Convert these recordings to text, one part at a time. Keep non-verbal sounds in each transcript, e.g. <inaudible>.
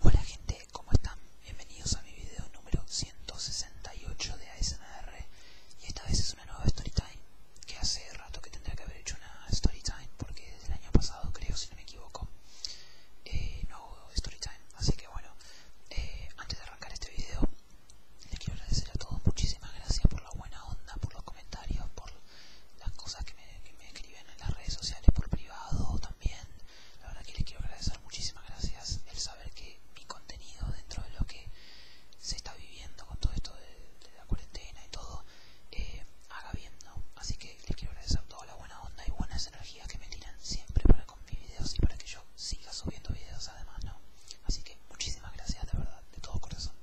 Hola gente, ¿cómo están? Bienvenidos a mi video número 168 de ASMR y esta vez es una nueva storytime que hace rato que tendría que haber hecho una storytime porque desde el año pasado creo, si no me equivoco, eh, no Story storytime, así que bueno, eh, antes de arrancar este video les quiero agradecer a todos, muchísimas gracias por la buena onda, por los comentarios, por las cosas que que me, escriben en las redes sociales por privado también. La verdad que les quiero agradecer, muchísimas gracias. El saber que mi contenido dentro de lo que se está viviendo con todo esto de, la cuarentena y todo, eh, haga bien, ¿no? Así que les quiero agradecer toda la buena onda y buenas energías que me tiran siempre para con mis videos y para que yo siga subiendo videos además, ¿no? Así que muchísimas gracias, de verdad, de todo corazón.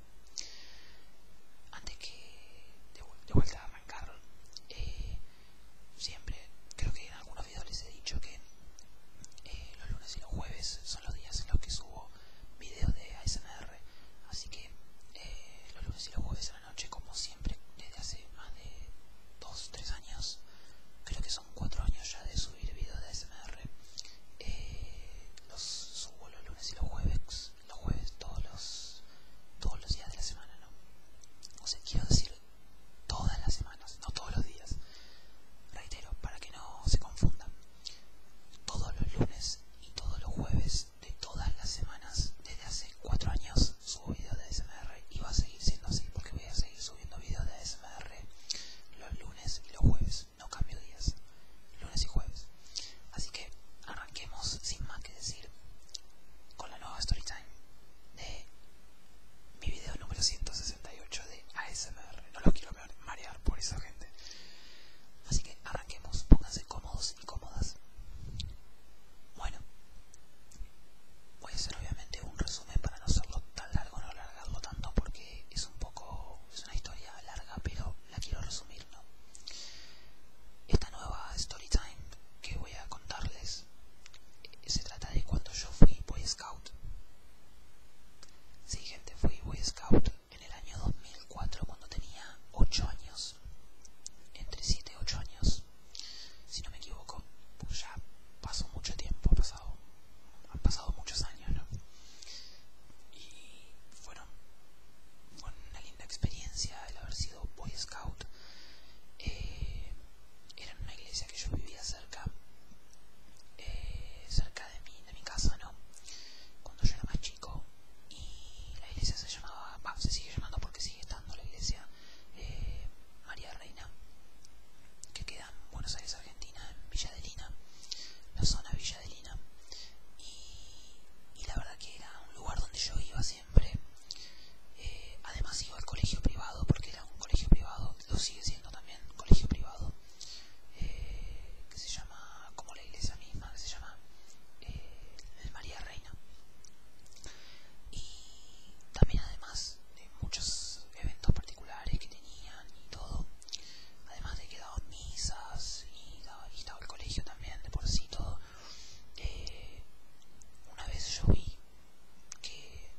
Antes que de vuelta eh, siempre, creo que en algunos videos les he dicho que eh, los lunes y los jueves son los días en los que subo videos de ASMR, así que eh, los lunes y los jueves a la noche, como siempre, desde hace más de 2-3 años, creo que son 4 años ya de subir videos de ASMR, eh, los subo los lunes y los jueves los jueves todos los, todos los días de la semana, ¿no? O sea, quiero decir todas las semanas, no todos los días. Reitero, para que no se confundan. Todos los lunes y todos los jueves de todas las semanas, desde hace cuatro años, subo videos de ASMR y va a seguir siendo así porque voy a seguir subiendo videos de ASMR los lunes y los jueves. No cambio días, lunes y jueves. Así que, arranquemos sin más que decir con la nueva story time de mi video número 168 de ASMR. No los quiero marear por esa gente. Así que arranquemos, pónganse cómodos y cómodas. Bueno, voy a hacer obviamente un resumen para no hacerlo tan largo, no alargarlo tanto porque es un poco, es una historia larga, pero la quiero resumir esta nueva story time que voy a contarles eh, se trata de cuando yo fui Boy Scout. Sí, gente, fui Boy Scout en el año 2004 cuando tenía 8 años. Entre 7 y 8 años. Si no me equivoco, pues ya pasó mucho tiempo, pasado, han pasado muchos años, ¿no? Y con una linda experiencia el haber sido Boy Scout. Eh, era en una iglesia que yo vivía cerca, eh, cerca de mi, de mi casa, ¿no? Cuando yo era más chico y la iglesia se llamaba, se sigue llamando porque sigue estando la iglesia eh, María Reina, que queda en Buenos Aires, Argentina, en Villa de Lina, la zona Villa de Lina. Y, la verdad que era un lugar donde yo iba eh, además iba al colegio privado, porque era un colegio privado, lo sigue siendo también, colegio privado, eh, que se llama, como la iglesia misma, que se llama eh, María Reina. Y también además de muchos eventos particulares que tenían y todo, además de que daban misas y, y estaba el colegio también de por sí todo, eh, una vez yo vi que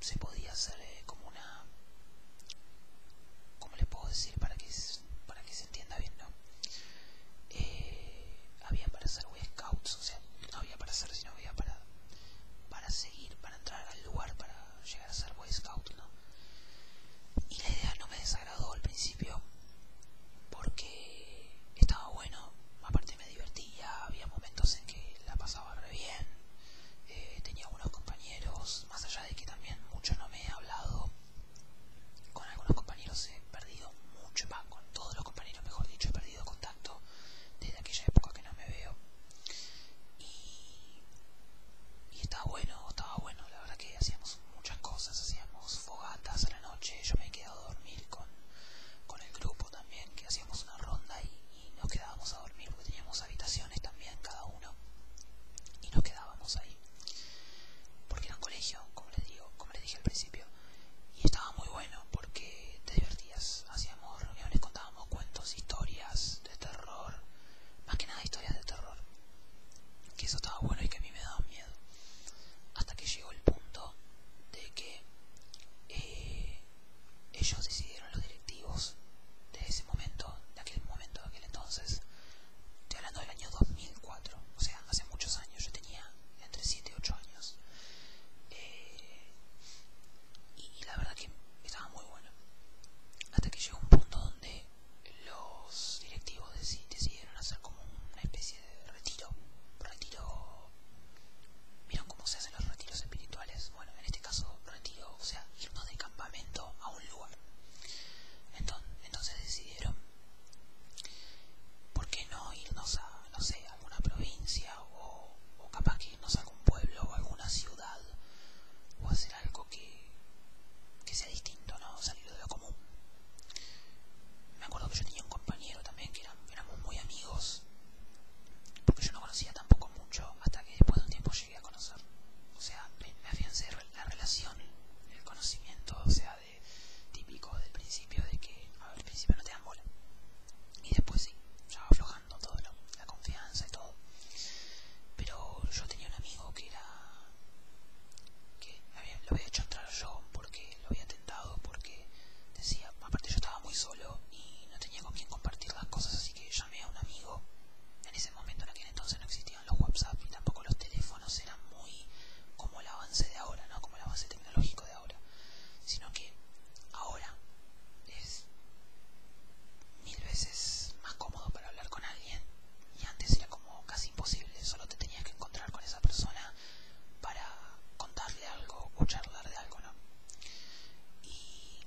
se podía hacer eh, como una ¿Cómo le puedo decir para que, para que se entienda bien? ¿no? Eh, había para ser Boy Scouts, o sea, no había para ser sino había para, para seguir, para entrar al lugar, para llegar a ser Boy Scout, ¿no? Y la idea no me desagradó al principio, porque estaba bueno, aparte me divertía, había momentos en que la pasaba re bien, eh, tenía algunos compañeros, más allá de que también mucho no me he hablado, con algunos compañeros he perdido mucho, más con todos los compañeros mejor dicho, he perdido contacto desde aquella época que no me veo. Y, y estaba bueno, estaba bueno, la verdad que hacíamos muchas cosas, hacíamos fogatas en la noche, yo me he quedado a dormir con, el grupo también, que hacíamos una ronda y, nos quedábamos a dormir porque teníamos habitaciones también cada uno y nos quedábamos ahí porque era un colegio, como les digo, como les dije al principio, y estaba muy bueno porque te divertías, hacíamos reuniones, contábamos cuentos, historias de terror, más que nada historias de terror, que eso estaba bueno y que a mí me daba miedo hasta que llegó el punto de que eh, ellos decidieron, los directivos de ese momento, de aquel momento, de aquel entonces, estoy hablando del año 2004, o sea, hace muchos años, yo tenía entre 7 y 8 años. Eh, y, y la verdad que estaba muy bueno. Hasta que llegó un punto donde los directivos decidieron hacer como una especie de retiro. Retiro. ¿Vieron cómo se hacen los retiros espirituales? Bueno, en este caso, retiro, o sea, irnos de campamento a un lugar. Entonces, decidieron, ¿por qué no irnos a, no sé, alguna provincia o, capaz que irnos a algún pueblo o alguna ciudad o hacer algo que, que sea distinto, ¿no? Salir de lo me acuerdo que yo tenía un compañero también que éramos muy amigos, porque yo no conocía tampoco mucho hasta que después de un tiempo llegué a conocer. O sea, me, afiancé la relación, el conocimiento, o sea, de típico del principio, de que al principio no te dan bola. Y después sí, ya va aflojando todo, la confianza y todo. Pero yo tenía un amigo que era que lo había hecho entrar yo porque lo había tentado, porque decía, aparte yo estaba muy solo y no tenía con quién compartir las cosas, así que llamé a un amigo. En ese momento, en aquel entonces, no existían los WhatsApp y tampoco los teléfonos eran muy como el avance de ahora, ¿no? Como el avance tecnológico de ahora. Sino que ahora es mil veces más cómodo para hablar con alguien y antes era como casi imposible, solo te tenías que encontrar con esa persona para contarle algo o charlar de algo, ¿no? Y,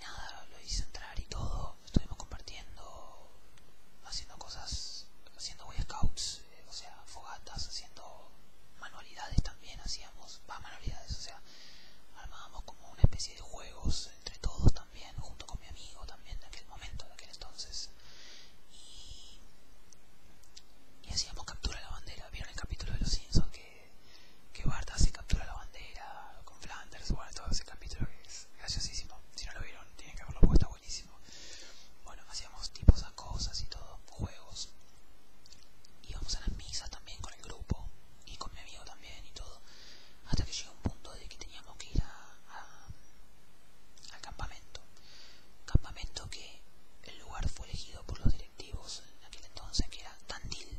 nada, lo hice entrar y todo, estuvimos compartiendo, haciendo cosas, haciendo Boy Scouts, eh, o sea, fogatas, haciendo manualidades también, hacíamos, más manualidades, o sea, armábamos como una especie de juegos entre todos también junto con mi amigo también de aquel momento, de aquel entonces. Y, hacíamos captura de la bandera. ¿Vieron el capítulo de los Simpsons que, que hace captura la bandera con Flanders? Bueno, todo ese capítulo que es graciosísimo. Si no lo vieron, tienen que haberlo puesto, buenísimo. Bueno, hacíamos tipos de cosas y todo, juegos. Íbamos a las misas también con el grupo y con mi amigo también y todo hasta que llegó un punto de que teníamos que ir al campamento. Campamento que el lugar fue elegido por los directivos en aquel entonces, que era Tandil.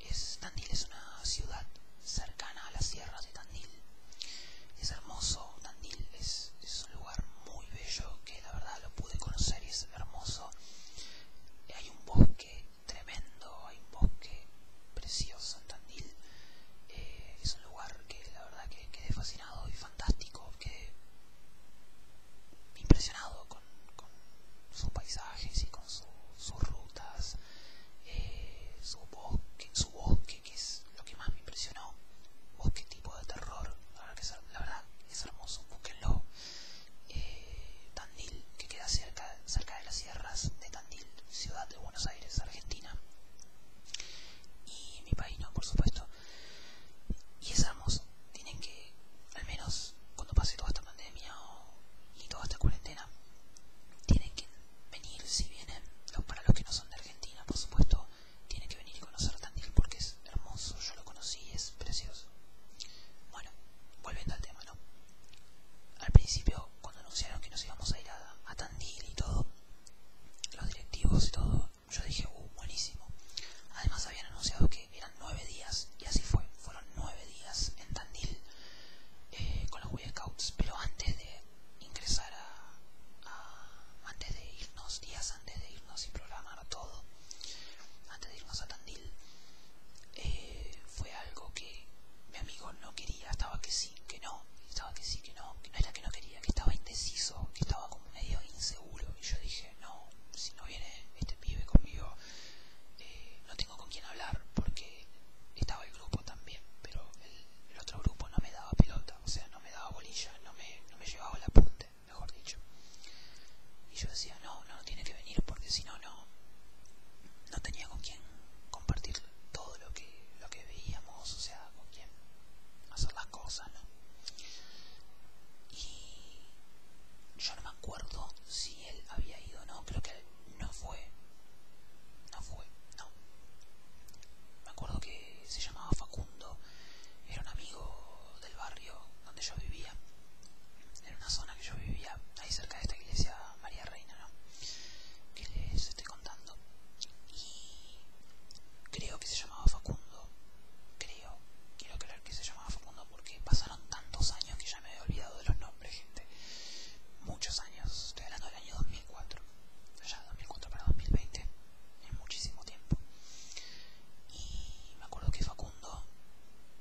Es, Tandil es una ciudad cercana a las sierras de Tandil. Es hermoso, Tandil es, un lugar muy bello que la verdad lo pude conocer y es hermoso. Hay un bosque tremendo, hay un bosque precioso en Tandil. Eh, es un lugar que la verdad que quedé fascinado y fantástico, que impresionado con, sus paisajes y con sus rutas, eh, su, bosque, que es lo que más me impresionó. Bosque tipo de terror, la verdad, que es, hermoso, búsquenlo. Eh, Tandil, que queda cerca, cerca de las sierras de Tandil, ciudad de Buenos Aires, Argentina y mi país no, por supuesto. Y es hermoso. tienen que, al menos cuando pase toda esta pandemia y toda esta cuarentena, tienen que venir, si vienen, para los que no son de Argentina, por supuesto, tienen que venir y conocer Tandil porque es hermoso, yo lo conocí, es precioso. Bueno, volviendo al tema, ¿no? Al principio, cuando anunciaron que nos íbamos a ir a, a Tandil y todo, los directivos y todo, yo dije, uh, buenísimo. Además habían anunciado que eran nueve días, y así fue, fueron nueve días en Tandil eh, con los Boy pero antes de ingresar a, antes de irnos, días antes de irnos y programar todo, antes de irnos a Tandil, eh, fue algo que mi amigo no quería, estaba que que no, estaba que sí, que no, que no era que no quería, que estaba indeciso, que estaba como medio inseguro. Y yo dije, no, si no viene este pibe conmigo, eh, no tengo con quién hablar, porque estaba el grupo también, pero el, otro grupo no me daba pelota, o sea, no me daba bolilla, no me, no me llevaba la apunte mejor dicho. Y yo decía, no, no, tiene que venir, porque si no, no, no tenía con quién compartir todo lo que, lo veíamos, o sea, con quién hacer las cosas, Y yo no me acuerdo si él había ido no, creo que no fue, no fue, no. Me acuerdo que se llamaba Facundo, era un amigo del barrio donde yo vivía, en una zona que yo vivía, ahí cerca de esta iglesia María Reina, ¿no? Que este y creo que se llamaba Facundo. Creo, quiero creer que se llamaba Facundo porque pasaron tantos años que ya me había olvidado de los nombres, gente. Muchos años, estoy hablando del año 2004. Ya 2004 para 2020, muchísimo tiempo. Y me acuerdo que Facundo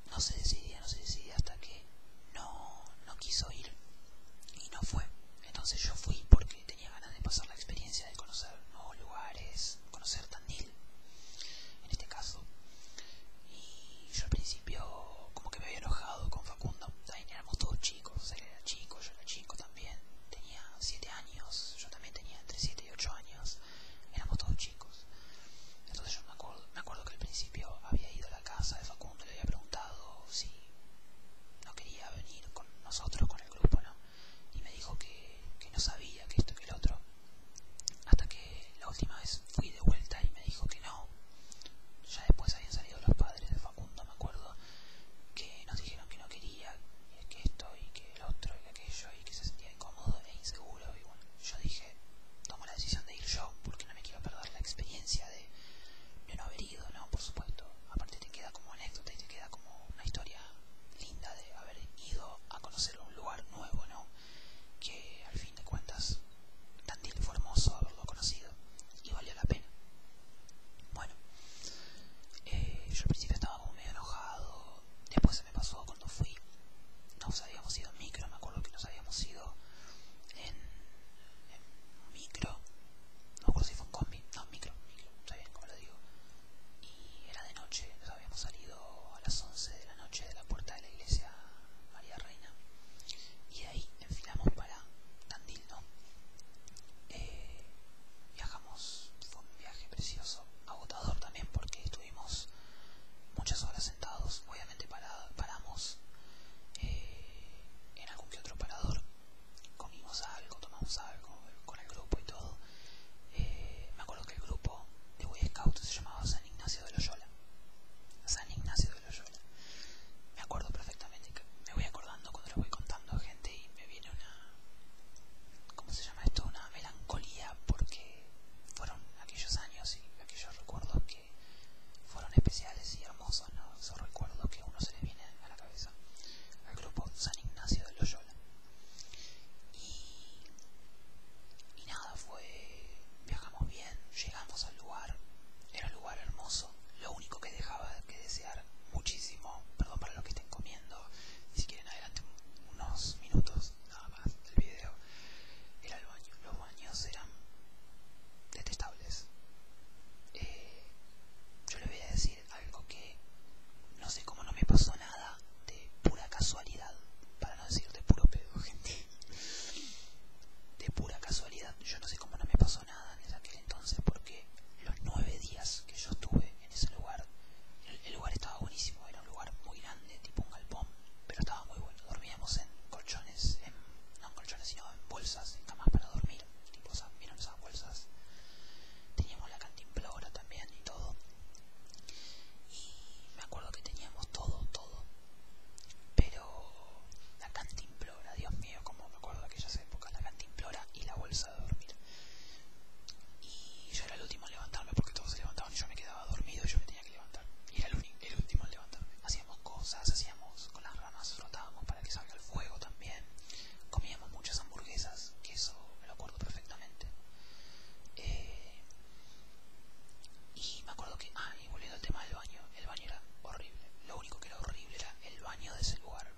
no se decidía, no se decidía hasta que no, quiso ir y no fue. Entonces yo fui porque tenía ganas de pasar la experiencia de conocer nuevos lugares, conocer Tandil, en este caso. Y yo al principio como que me había enojado con Facundo, también éramos todos chicos, él era chico, yo era chico también, tenía 7 años, yo también tenía entre 7 y 8 años, éramos todos chicos. Entonces yo me acuerdo, que al principio había ido a la casa de Facundo, le había preguntado si no quería venir con nosotros, con el grupo, ¿no? Y me dijo que, que no sabía, que esto, que el otro. Hasta que la última vez fui de vuelta y me dijo que no. Ya después habían salido los padres de Facundo, me acuerdo, que nos dijeron que no quería, que esto y que el otro y aquello, y que se sentía incómodo e inseguro. Y bueno, yo dije, tomo la decisión de ir yo porque no me quiero perder la experiencia de de, no haber ido, ¿no? Por supuesto. Aparte te queda como anécdota y te queda como una historia linda de haber ido a conocer un lugar nuevo, ¿no? Que al fin de cuentas, tan fue hermoso haberlo conocido y valió la pena. Bueno, eh, yo al principio estaba medio enojado, después se me pasó cuando fui. Nos habíamos ido en micro, me acuerdo que nos habíamos ido en en micro, no recuerdo si fue un combi, no, micro, micro, está bien, como lo digo. Y era de noche, nos habíamos salido a las 11 de la noche de la puerta de la iglesia María Reina. Y de ahí enfilamos para Tandil, ¿no? Eh, viajamos, fue un viaje precioso, agotador también porque estuvimos muchas horas sentados paramos eh, en algún que otro parador, comimos algo, tomamos algo con el grupo y todo. Eh, me acuerdo que el grupo de Boy Scout se llamaba San Ignacio de Loyola. San Ignacio de Loyola. Me acuerdo perfectamente, me voy acordando cuando lo voy contando a gente y me viene una... ¿Cómo se llama esto? Una melancolía porque fueron aquellos años y aquellos recuerdos que fueron especiales y hermosos, ¿no? esos recuerdos que a uno se le viene a la cabeza al grupo San Ignacio de Loyola. Y, y nada, fue. viajamos bien, llegamos al lugar, era un lugar hermoso, lo único que dejaba que desear muchísimo, perdón para los que estén comiendo, si quieren adelante unos minutos nada más del video, era el baño, los baños eran detestables eh, yo le voy a decir algo que no sé cómo no me pasó nada de pura casualidad, para no decir de puro pedo, gente. De pura casualidad, yo no sé cómo no me pasó nada desde aquel entonces porque los nueve días que yo estuve en ese lugar, el lugar estaba buenísimo, era un lugar muy grande, tipo un galpón pero estaba muy bueno. Dormíamos en colchones, en, no en colchones, sino en bolsas, en camas para dormir. Tipo, esas, ¿vieron esas bolsas? Teníamos la cantimplora también y todo. Y me acuerdo que teníamos todo, todo. Pero la cantimplora, Dios mío, como me acuerdo de aquellas épocas, la cantimplora y la bolsa de dormir. Y yo era el último en levantarme porque todos se levantaban y yo me quedaba dormido que levantar. Y era el, el último al levantarme. Hacíamos cosas, hacíamos con las ramas, frotábamos para que salga el fuego también. Comíamos muchas hamburguesas, que eso me lo acuerdo perfectamente. Eh, y me acuerdo que, ah, y volviendo al tema del baño, el baño era horrible. Lo único que era horrible era el baño de ese lugar.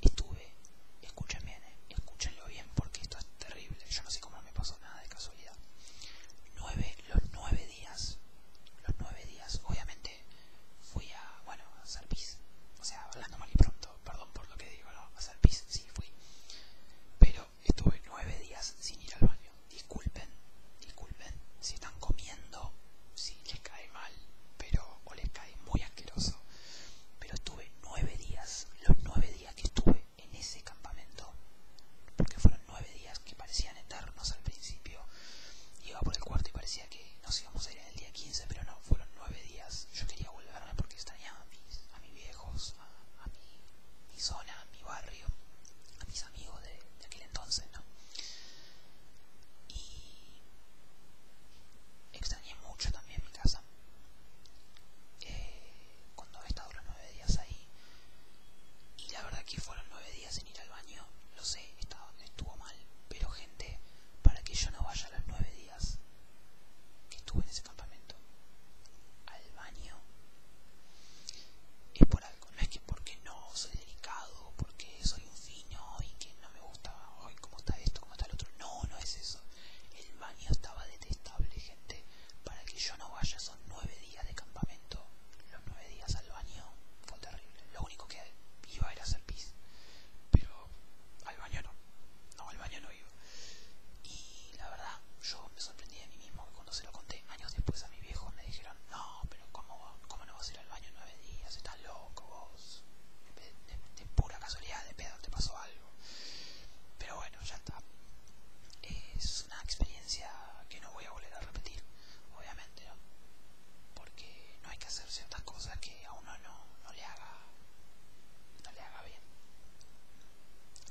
Estuve, escuchen bien, eh, escúchenlo bien porque esto es terrible. Yo no sé cómo me pasó nada de casualidad. Nueve, los nueve días. Los nueve días, obviamente, fui a, bueno, a Sarpis O sea, hablando mal y pronto, perdón por lo que digo, A Sarpis sí, fui. Pero estuve nueve días sin ir al baño. Disculpen, disculpen si están comiendo, si les cae mal, pero o les cae muy asqueroso. Pero estuve nueve días, los nueve días que estuve en ese campamento, porque fueron nueve que parecían eternos al principio. Iba por el cuarto y parecía que nos íbamos a ir en el día 15, pero no, fueron nueve días. Yo quería volverme porque extrañaba a mis, viejos, a, mi, zona, a mi barrio, a mis amigos de, aquel entonces, ¿no? Y extrañé mucho también mi casa. Eh, cuando he estado los nueve días ahí, y la verdad que fueron nueve días, sin ir al baño, lo sé, estuvo mal, pero gente, para que yo no vaya los nueve días que estuve en ese campamento al baño, es por algo, no es que porque no soy delicado, porque soy un fino y que no me gusta, hoy cómo está esto, cómo está el otro, no, no es eso, el baño estaba detestable, gente, para que yo no vaya son nueve días de campamento, nueve días al baño fue terrible. Lo único que iba era hacer pis. Pero al baño no. No, al baño no iba. Y la verdad, yo me sorprendí de mí mismo cuando se lo conté años después a mi viejo me dijeron, no, pero ¿cómo, no vas a ir al baño 9 nueve días? Estás loco vos. de pura casualidad, de pedo, te pasó algo. Pero bueno, ya está. Es una experiencia que no voy a volver a repetir obviamente, porque no hay que hacer ciertas cosas que a uno no, le haga no le haga bien.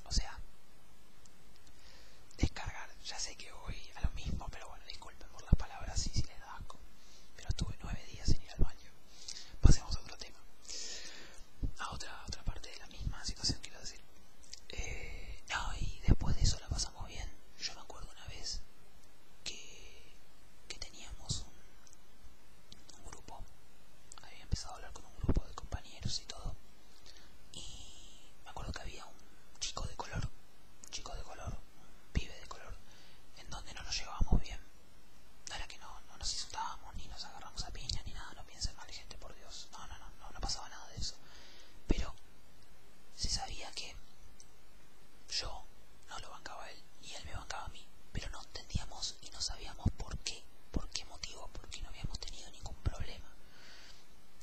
O sea, descargar, ya sé que voy a lo mismo, pero bueno, disculpen por las palabras y si les da asco, pero estuve nueve días sin ir al baño. Pasemos a otro tema, a otra, a otra parte de la misma Quiero decir. Eh, no, y después de eso la pasamos bien. Yo me acuerdo una vez que, que teníamos un, grupo. Había empezado a hablar con un grupo de compañeros y todo. Y me acuerdo que había un chico de color, un chico de color, un pibe de color, en donde no nos llevábamos bien. No que no, no nos insultábamos, ni nos agarramos a piña, ni nada, no piensen mal, gente, por Dios. No, no, no, no, no pasaba nada de eso. Pero se sabía que yo no lo bancaba él, y él me bancaba a mí, pero no entendíamos y no sabíamos por qué, por qué motivo, porque no habíamos tenido ningún problema.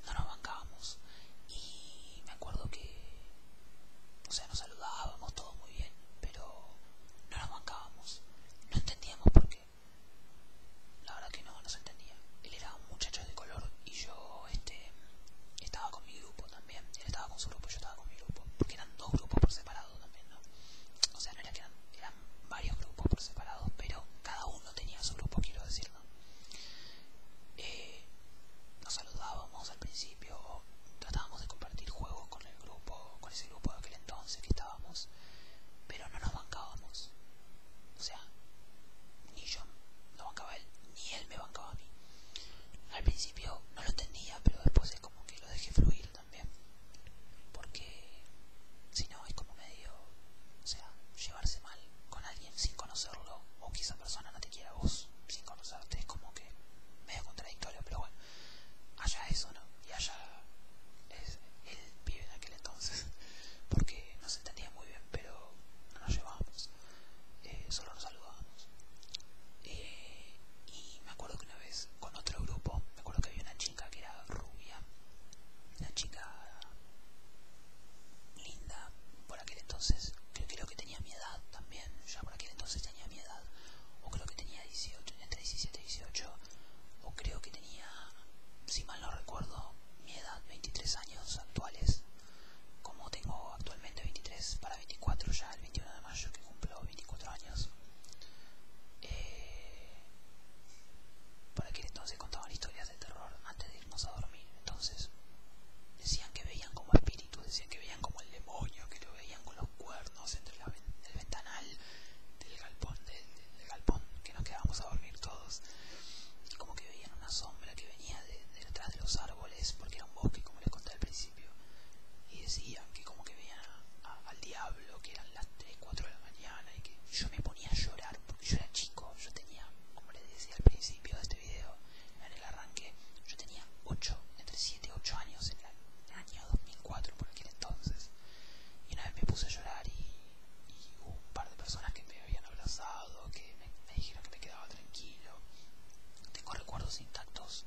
No nos bancábamos y me acuerdo que, o sea, nos saludábamos todo muy bien, pero no nos bancábamos, no entendíamos por qué. La verdad que no, no se entendía. Él era un muchacho de color y yo este, estaba con mi grupo también. Él estaba con su grupo, yo estaba con mi grupo. Porque eran dos grupos por separado también, ¿no? O sea, no era que eran, varios grupos por separado, pero cada uno tenía su grupo, quiero decirlo. Eh, nos saludábamos al principio, tratábamos de compartir juegos con el grupo, con ese grupo de aquel entonces que estábamos, pero no nos bancábamos. O sea, ni yo lo bancaba él, ni él me bancaba a mí. Al principio no lo tenía pero después es como que lo dejé fluir también. Porque si no, es como medio, o sea, llevarse mal con alguien sin conocerlo, o que esa persona no te quiera a vos sin conocerte, es como que medio contradictorio, pero bueno, allá eso, ¿no? Y allá es el en aquel entonces, <laughs> porque no entendía muy bien, pero no nos llevábamos, eh, solo nos saludábamos. Eh, y me acuerdo que una vez con otro grupo, me acuerdo que había una chica que era rubia, una chica linda por aquel entonces, creo que tenía mi edad también, ya por aquel entonces tenía mi edad, o creo que tenía 18, entre 17 y 18, o creo que tenía, no recuerdo mi edad, 23 años actuales, como tengo actualmente 23 para 24 ya el 21 de mayo que cumplo 24 años. Eh, por aquel entonces contaban historias de terror antes de irnos a dormir, entonces decían que veían como espíritus, decían que veían como el demonio, que lo veían con los cuernos entre el ventanal del galpón, del galpón que nos quedábamos a dormir todos y como que veían una sombra que venía detrás de los árboles, porque era un bosque, como les conté al principio, y decían que como que veían al diablo, que eran las 3, 4 de la mañana, y que yo me ponía a llorar, porque yo era chico, yo tenía, como les decía al principio de este video, en el arranque, yo tenía 8, entre 7 y 8 años en el año 2004, por aquel entonces, y una vez me puse a llorar y y un par de personas que me habían abrazado, que me, dijeron que me quedaba tranquilo. Tengo recuerdos intactos,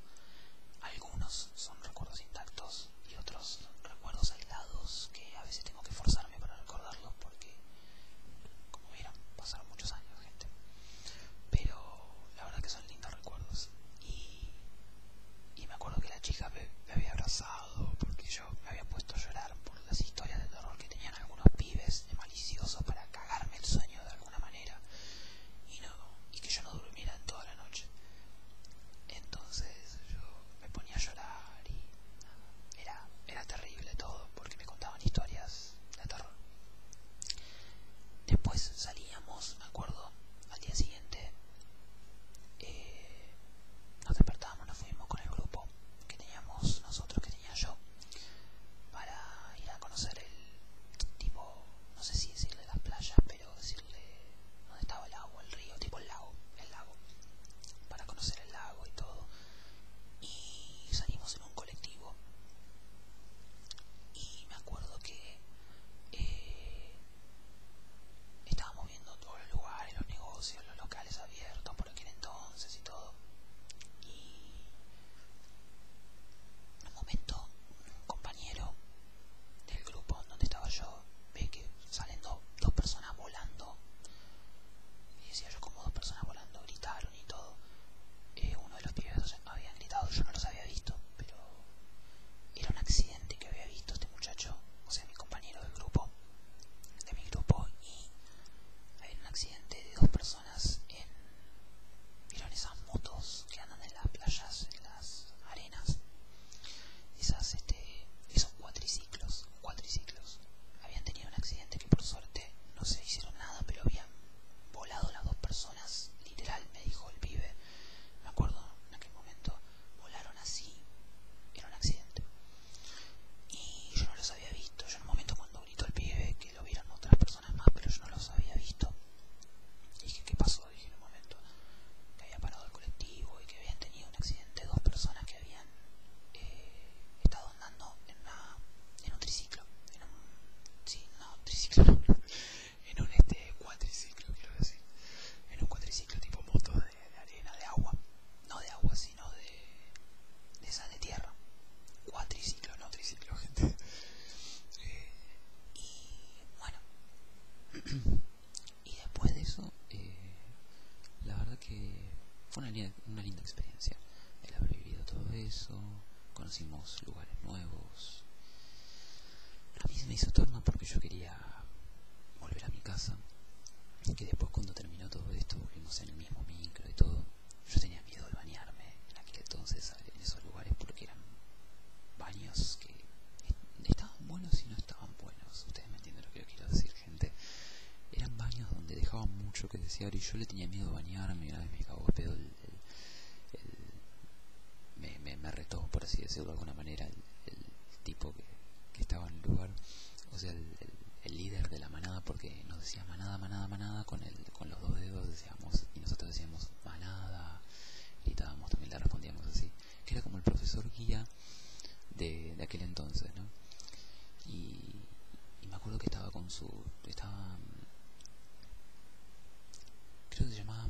algunos son recuerdos intactos y otros recuerdos aislados que a veces tengo que forzarme para recordarlos porque, como vieron, pasaron muchos años, gente. Pero la verdad que son lindos recuerdos y, me acuerdo que la chica me, había abrazado porque yo me había puesto a llorar por las historias de terror que tenían algunos pibes de maliciosos para cagarme el sueño de alguna manera y, no, y que yo no durmiera en toda la noche. Entonces yo me ponía a llorar y era, era terrible todo porque me contaban historias de terror. Después salíamos, me acuerdo, al día siguiente eh, nos despertábamos, nos fuimos con el grupo que teníamos nosotros, que tenía yo, para ir a conocer el tipo, no sé si decirle las playas, pero decirle dónde estaba el agua, el río, tipo el lago, el lago, para conocer el lago y todo. Y salimos en un colectivo y me acuerdo que eh, estábamos viendo todos los lugares, los negocios, los locales abiertos por aquel entonces y todo. Y en un momento un compañero del grupo donde estaba yo ve que salen dos personas volando. Y decía yo como dos personas volando, gritaron y todo. Eh, uno de los pibes habían gritado, yo no los había visto, pero era un accidente que había visto este muchacho, o sea mi compañero del grupo de este mi grupo y hay un accidente de dos personas en vieron esas motos que andan en las playas en las arenas esas este esos cuatriciclos cuatriciclos habían tenido un accidente que por suerte no se hicieron nada pero habían volado las dos personas literal me dijo el pibe me acuerdo en aquel momento volaron así era un accidente y yo no los había visto. Yo en un momento cuando gritó el pibe que lo vieron otras personas más, pero yo no los había visto. Y dije, ¿qué pasó? Dije en un momento que había parado el colectivo y que habían tenido un accidente dos personas que habían eh, estado andando en, en un triciclo. En un, sí, no, triciclo, <laughs> en un este, cuatriciclo, quiero decir. En un cuatriciclo tipo moto de, arena, de agua, no de agua, sino de, de esa de tierra, cuatriciclo, no triciclo, <laughs> gente. Eh, y bueno, <clears throat> y después de eso, eh, la verdad que fue una, linda experiencia el haber vivido todo eso, conocimos lugares nuevos. A mí se me hizo torno porque yo quería volver a mi casa, que después cuando terminó todo esto volvimos en el mismo micro y todo, yo tenía miedo de bañarme en aquel entonces en esos lugares porque eran baños que estaban buenos y no estaban buenos, ustedes me entienden lo que yo quiero decir gente, eran baños donde dejaban mucho que desear y yo le tenía miedo de bañarme y una vez me cago el pedo el, me, me, por así decirlo de alguna manera el, tipo que estaba en el lugar o sea, el, líder de la manada, porque nos decía manada, manada, manada, con, el, con los dos dedos decíamos, y nosotros decíamos manada, gritábamos, también le respondíamos así, que era como el profesor guía de, aquel entonces, ¿no? Y, me acuerdo que estaba con su, estaba, creo que se llamaba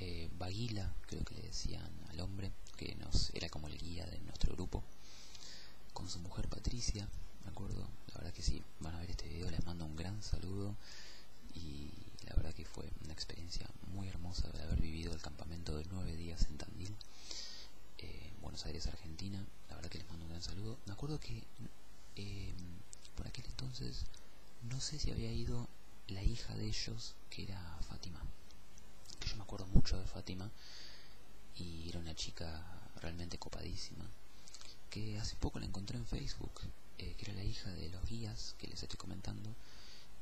eh, Baguila, creo que le decían al hombre, que nos era como el guía de nuestro grupo, con su mujer Patricia, me acuerdo? La verdad que sí, van a ver este video, les mando un gran saludo y la verdad que fue una experiencia muy hermosa de haber vivido el campamento de nueve días en Tandil, eh, Buenos Aires, Argentina, la verdad que les mando un gran saludo. Me acuerdo que eh, por aquel entonces no sé si había ido la hija de ellos, que era Fátima, que yo me acuerdo mucho de Fátima y era una chica realmente copadísima que hace poco la encontré en Facebook eh, que era la hija de los guías que les estoy comentando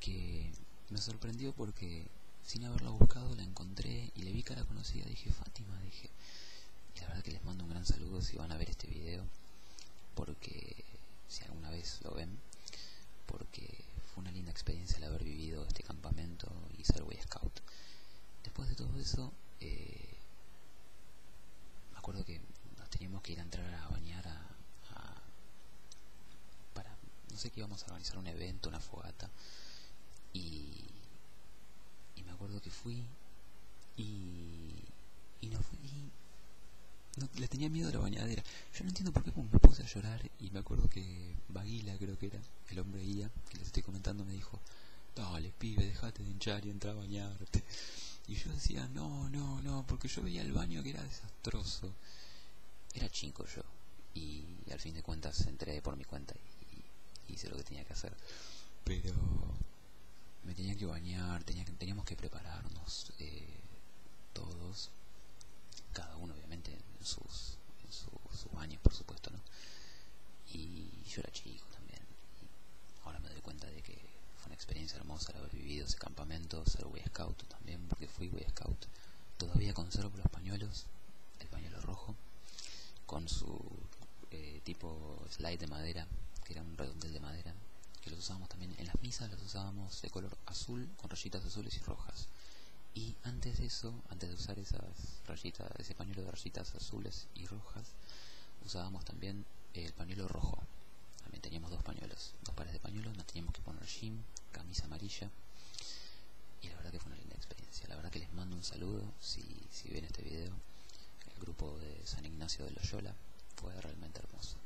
que me sorprendió porque sin haberla buscado la encontré y le vi cara conocida dije Fátima dije la verdad que les mando un gran saludo si van a ver este video porque si alguna vez lo ven que fue una linda experiencia el haber vivido este campamento y ser Boy Scout. Después de todo eso, eh, me acuerdo que nos teníamos que ir a entrar a bañar a, para, no sé qué íbamos a organizar, un evento, una fogata. Y, y me acuerdo que fui y, y no fui. le tenía miedo a la bañadera. Yo no entiendo por qué me puse a llorar y me acuerdo que Baguila creo que era, el hombre guía, que les estoy comentando, me dijo, dale pibe, dejate de hinchar y entra a bañarte. <laughs> Y yo decía, no, no, no, porque yo veía el baño que era desastroso. Era chico yo, y al fin de cuentas entré por mi cuenta y, hice lo que tenía que hacer. Pero me tenía que bañar, tenía que, teníamos que prepararnos. Eh, todos, cada uno obviamente en sus, en por supuesto, Y yo era chico también. ahora me doy cuenta de que fue una experiencia hermosa el haber vivido ese campamento, ser Boy Scout también, porque fui Boy Scout. Todavía conservo los pañuelos, el pañuelo rojo, con su eh, tipo slide de madera, que era un redondel de madera, que los usábamos también en las misas, los usábamos de color azul, con rayitas azules y rojas y antes de eso, antes de usar esas rayitas, ese pañuelo de rayitas azules y rojas, usábamos también el pañuelo rojo. También teníamos dos pañuelos, dos pares de pañuelos, nos teníamos que poner jean, camisa amarilla. Y la verdad que fue una linda experiencia. La verdad que les mando un saludo si, si ven este video. El grupo de San Ignacio de Loyola fue realmente hermoso.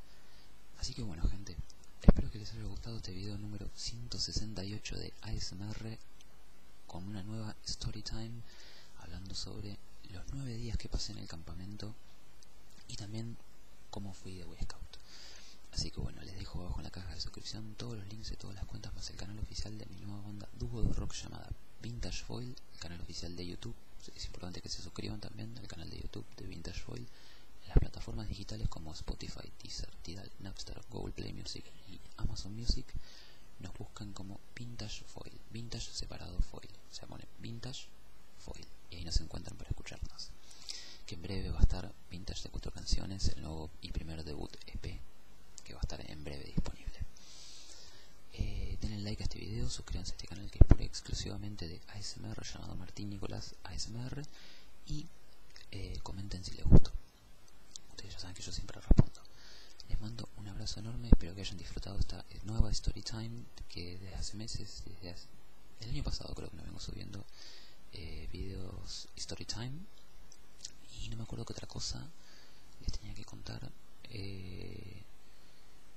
Así que bueno gente, Espero que les haya gustado este video número 168 de ASMR con una nueva story time hablando sobre los nueve días que pasé en el campamento y también cómo fui de Boy Scout. Así que bueno, les dejo abajo en la caja de suscripción todos los links de todas las cuentas más el canal oficial de mi nueva banda dúo de rock llamada Vintage Foil, el canal oficial de YouTube. Es importante que se suscriban también al canal de YouTube de Vintage Foil las plataformas digitales como Spotify, teaser Tidal, Napster, Google Play Music y Amazon Music, nos buscan como Vintage Foil, Vintage separado Foil, Se pone Vintage Foil y ahí nos encuentran para escucharnos. Que en breve va a estar Vintage de cuatro canciones, el nuevo y primer debut EP que va a estar en breve disponible. Eh, denle like a este video, suscríbanse a este canal que es por exclusivamente de ASMR llamado Martín Nicolás ASMR y eh, comenten si les gustó. Ustedes ya saben que yo siempre respondo. Les mando un abrazo enorme, espero que hayan disfrutado esta eh, nueva story time que desde hace meses, desde el año pasado creo que no vengo subiendo eh, videos story time y no me acuerdo qué otra cosa les tenía que contar.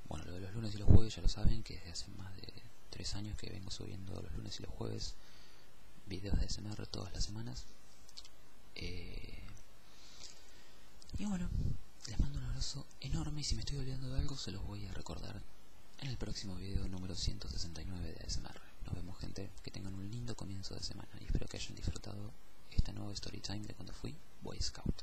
bueno, lo de los lunes y los jueves ya lo saben que desde hace más de 3 años que vengo subiendo los lunes y los jueves videos de SMR todas las semanas. Eh, y bueno, les mando un abrazo enorme y si me estoy olvidando de algo se los voy a recordar en el próximo video número 169 de ASMR. Nos vemos gente, que tengan un lindo comienzo de semana y espero que hayan disfrutado esta nueva story time de cuando fui Boy Scout.